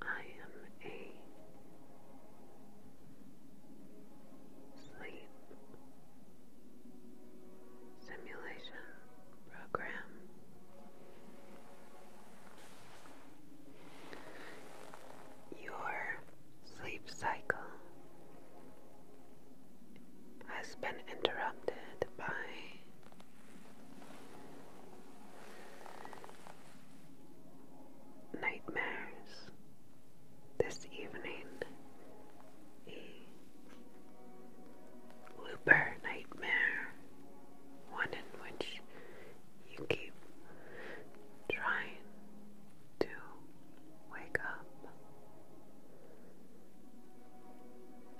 I am a sleep simulation program. Your sleep cycle has been interrupted by Nightmares this evening. A looper nightmare, one in which you keep trying to wake up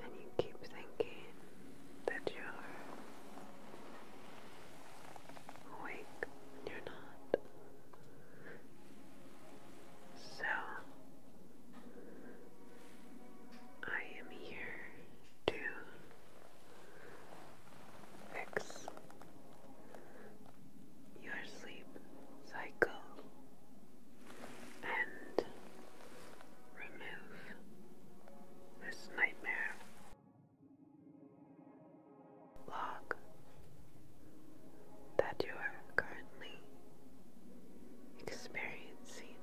and you keep thinking that you're awake you're not. So, I am here to fix your sleep cycle and remove this nightmare. Log that you are currently experiencing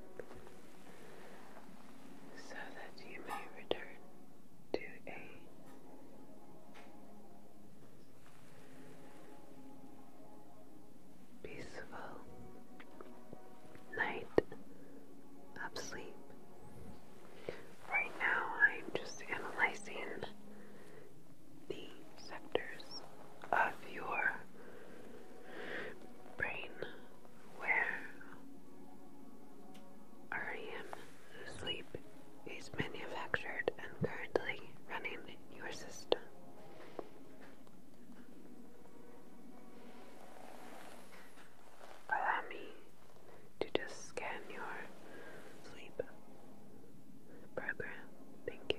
so that you may return to a peaceful night of sleep. Right now, I'm just analyzing the sectors of your brain where REM sleep is manufactured and currently running your system. Allow me to just scan your sleep program. Thank you.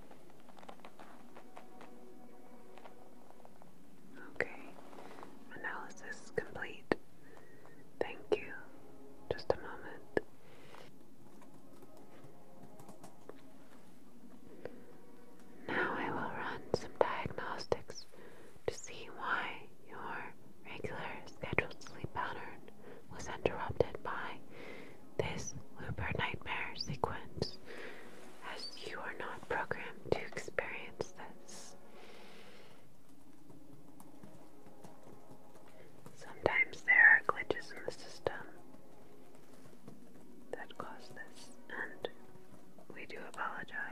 Okay, analysis complete. Thank you. Just a moment. Now I will run some diagnostics to see why your regular scheduled sleep pattern was interrupted by this looper nightmare sequence. As you are not programmed to experience this. Sometimes there are glitches in the system that cause this, and we do apologize.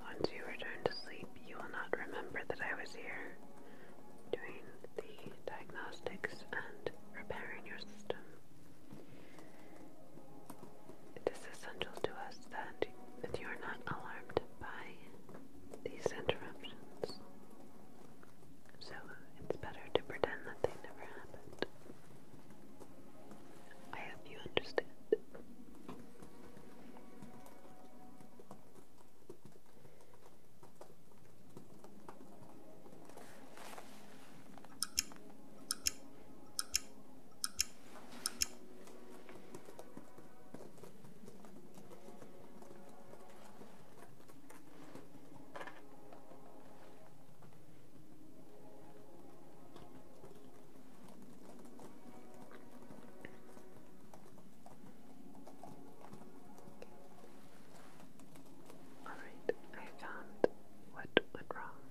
Once you return to sleep, you will not remember that I was here doing the diagnostics and repairing your system. It is essential to us that, that you are not alarmed by these interruptions. So it's better to pretend that they never happened. I hope you understand. Alright, I found what went wrong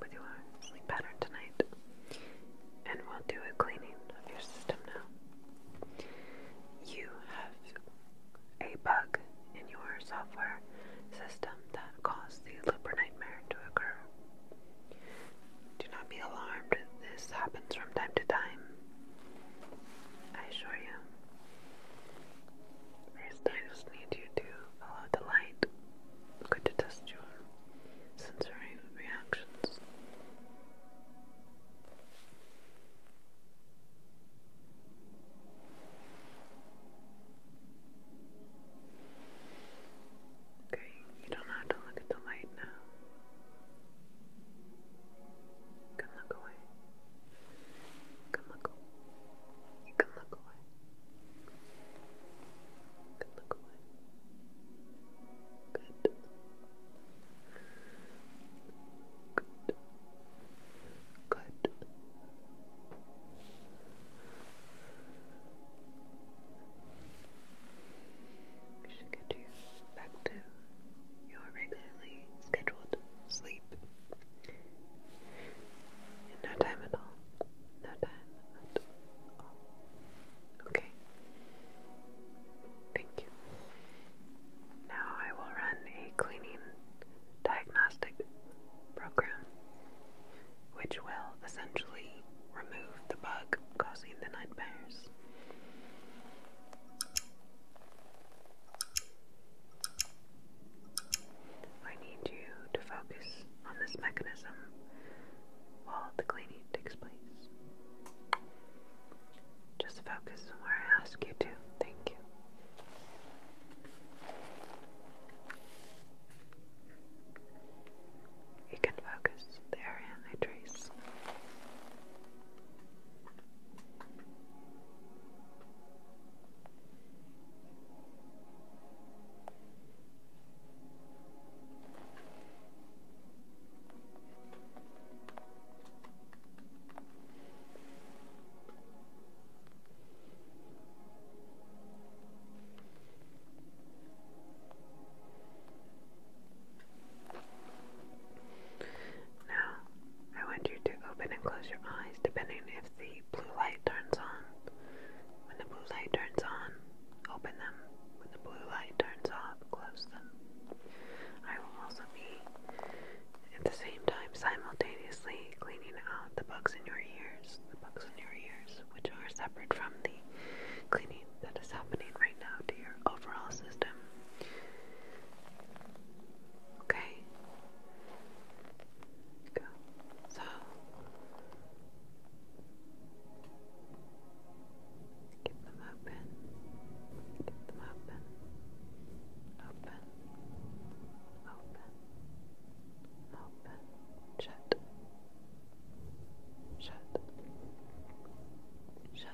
with your sleep pattern tonight. And we'll do a cleaning of your system now. You have a bug in your software system that caused the Looper nightmare to occur do not be alarmed, this happens from time to time. I assure you. First, I just need you to follow the light. Good to test your sensory reactions. Okay, you don't have to look at the light now. You look away. You look away. You look away. You look away. Good. Good. Good. We should get you back to your regularly scheduled sleep. no time at all. No time at all. Okay. Thank you. Now I will run a cleaning diagnostic program which will essentially remove the bug causing the nightmares. I need you to focus on this mechanism while the cleaning takes place. Just focus on where I ask you to. Thank you. You can focus there area I trace. Now, I want you to open and close your eyes depending if the blue light turns on. When the blue light turns on, open them. When the blue light turns off, close them. I will also be at the same time simultaneously cleaning out the bugs in your ears. The bugs in your ears which are separate from the cleaning that is happening right now to your overall system. Okay? Go. So. Keep them open. Keep them open. Open. Open open, shut, shut, shut,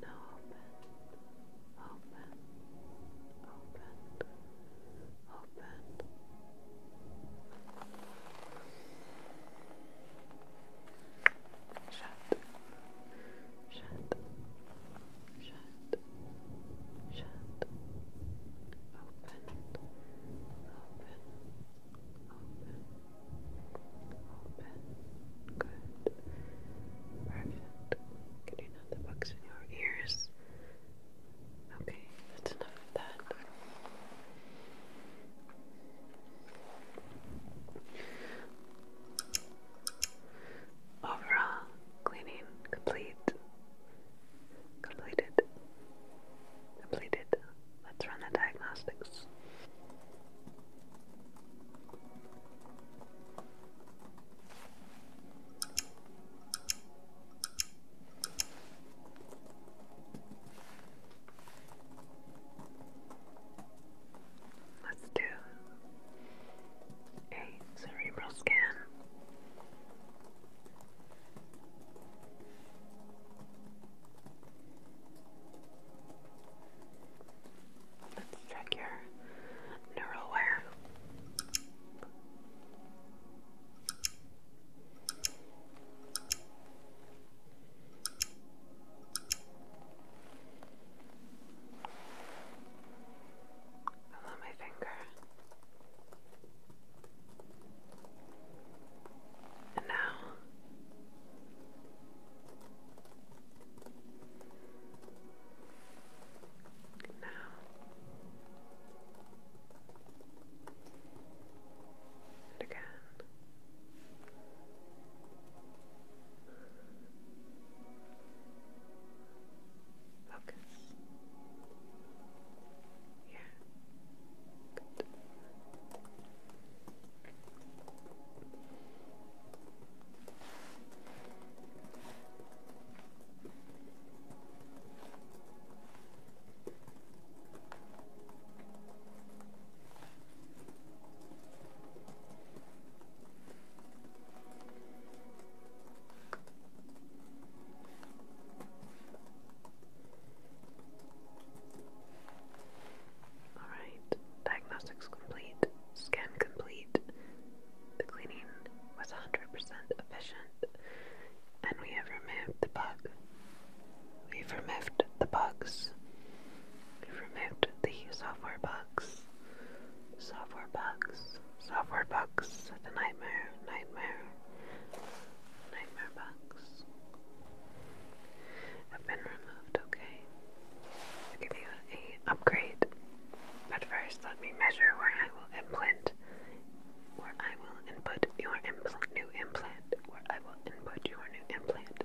now open, open, open, open. Shut, shut, shut, shut, open, open, open, open, good, perfect, getting out the bugs in your ears, okay, that's enough of that. Overall, cleaning complete. Completed. Completed. Let's run the diagnostics. Let's do a cerebral scan. Let's check your neural wire. my finger. And now and now and again. Focus. Yeah. Good. Alright, diagnostics complete, scan complete. The cleaning was 100% efficient, and we have removed the bug. We've removed the bugs. We've removed the software bugs. Software bugs. Software bugs. The nightmare. Nightmare. Nightmare bugs. Have been removed. Okay. i give you a upgrade. But first, let me measure where I will implant. Where I will input your implant, new implant. Where I will input your new implant.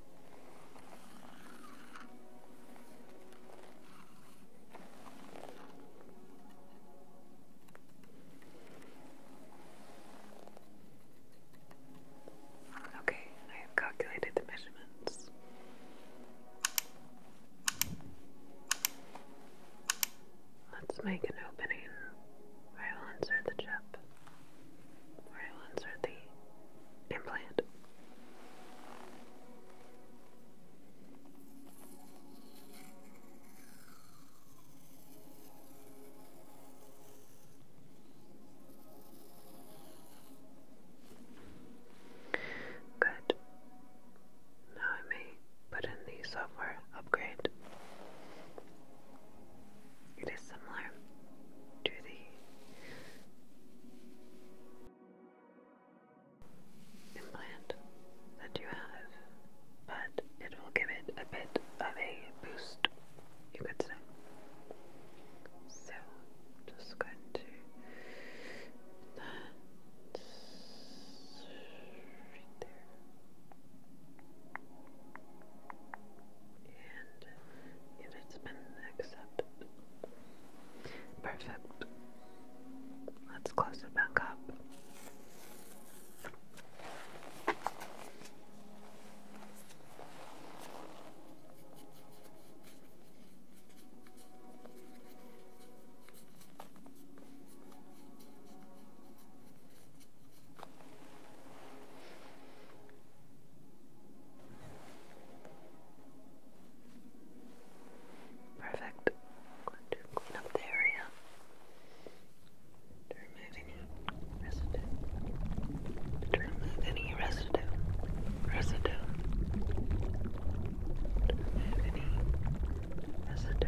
Okay, I have calculated the measurements. Let's make an opening I will insert the chip, I will insert the implant. Good. Now I may put in the software upgrade. It is similar to the implant that you have, but it will give it a bit of a boost, you could say. So, just going to right there. And if it's been accepted, Perfect. Let's close it back up. Perfect. going to clean up the area. To remove any residue. To remove any residue. Residue. remove any residue.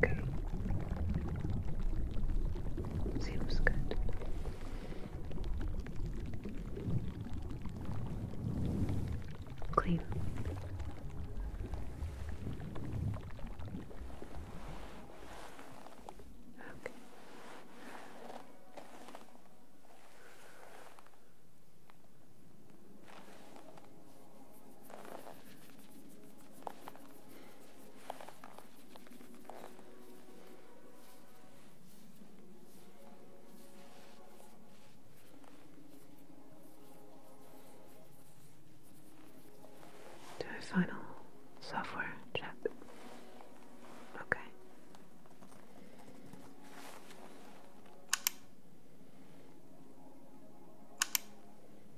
Okay. Seems good. Clean. Okay. Do a final software check. Okay.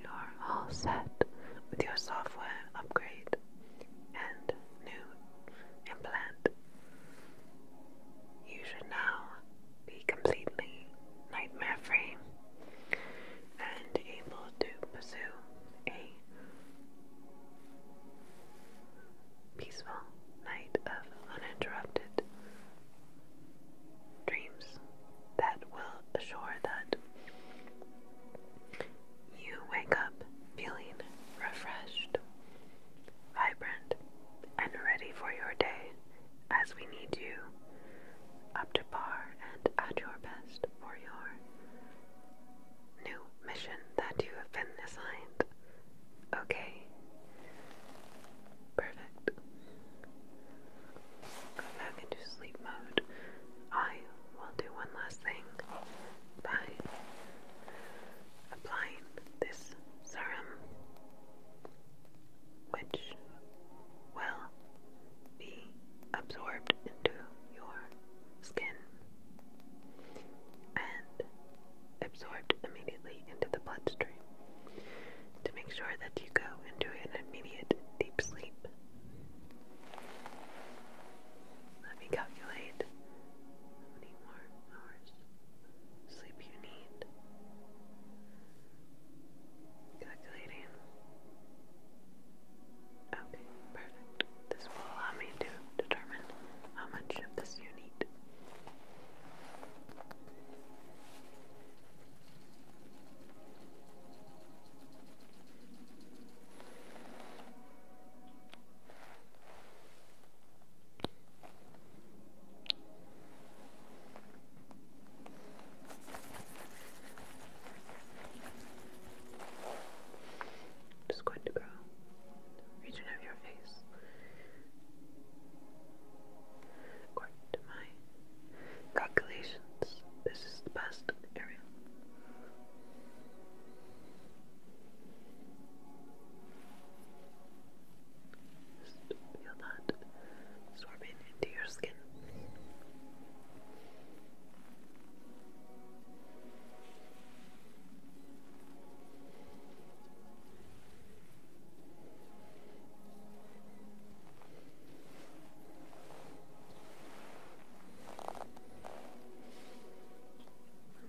You are all set with your software upgrade and new implant. You should now be completely nightmare free and able to pursue a peaceful night of uninterrupted dreams that will assure that you wake up feeling refreshed vibrant, and ready for your day as we need you, up to par and at your best for your new mission that you have been assigned. Okay. Perfect. Go back into sleep mode. I will do one last thing. Bye applying this serum, which will be absorbed into your skin and absorbed immediately into the bloodstream to make sure that you go into an immediate deep sleep. Let me calculate how many more hours sleep you need. Calculating. Okay, perfect. This will allow me to determine how much of this you need. Just going to go region of your face, according to my calculations. This is the best area. Feel that absorbing into your skin.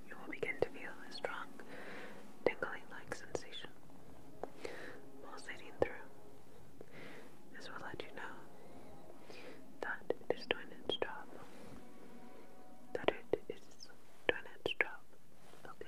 You will begin to feel a strong, tingling-like sensation pulsating through. This will let you know that it is doing its job. That it is doing its job. Okay.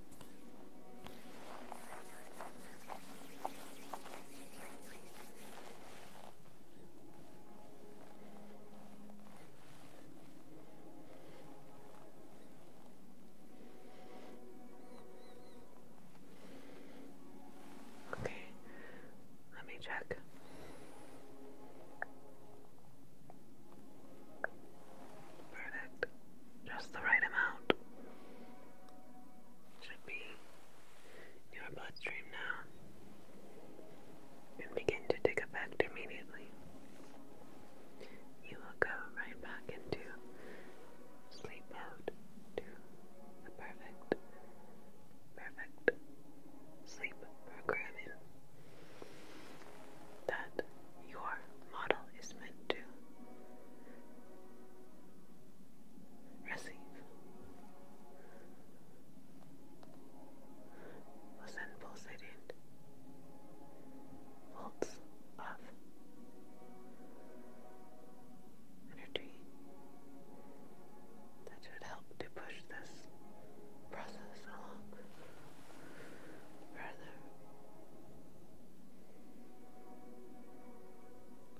Okay, let me check. Perfect just the right amount. Should be your bloodstream now and begin to take effect immediately. You will go right back into sleep mode to the perfect, perfect sleep programming that your model is meant to receive. Was then pulsating volts of energy that should help to push this process along further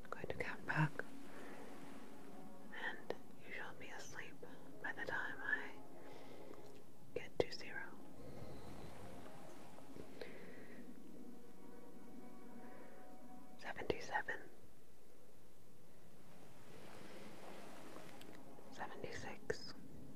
I'm going to count back, and you shall be asleep by the time I get to zero. Seventy-seven, seventy-six.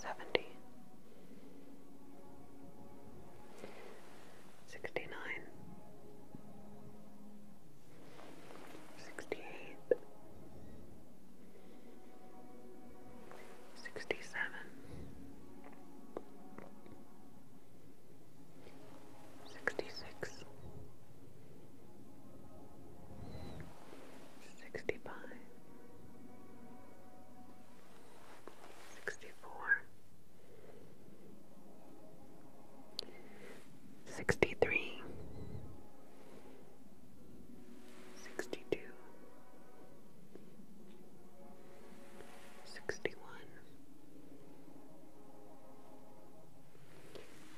seventy, sixty nine, sixty eight, sixty seven, sixty six. 66 sixty-five, sixty-four, sixty-three, sixty-two, sixty-one. 61 62 63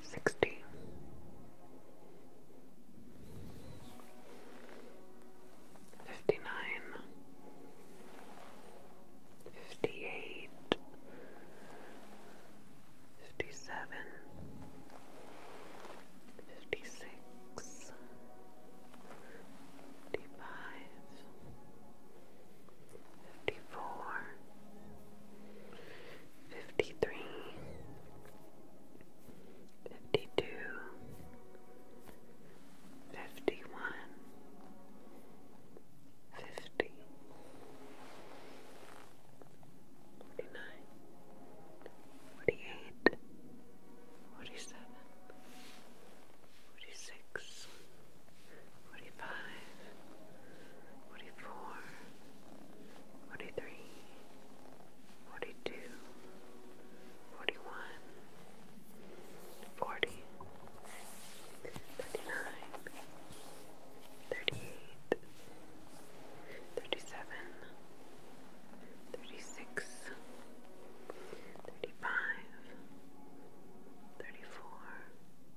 sixty. Fifty nine, fifty eight, fifty seven, fifty six, fifty five, fifty four, Fifty-three, fifty-two, fifty-one, fifty, forty-nine, forty-eight, forty-seven, forty-six, forty-five, forty-four. 43 38 37 36 35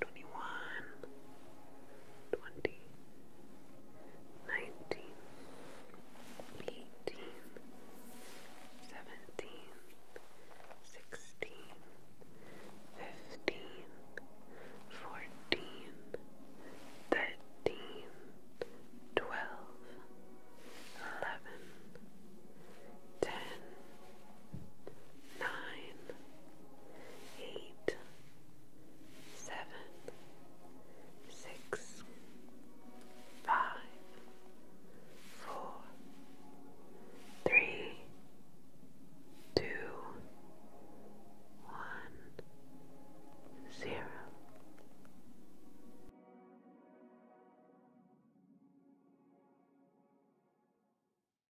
twenty-one, twenty, nineteen, eighteen, seventeen, sixteen, fifteen, fourteen, thirteen, twelve, eleven, ten. 9 nine, eight, seven, six, five, four, three, two, one, zero.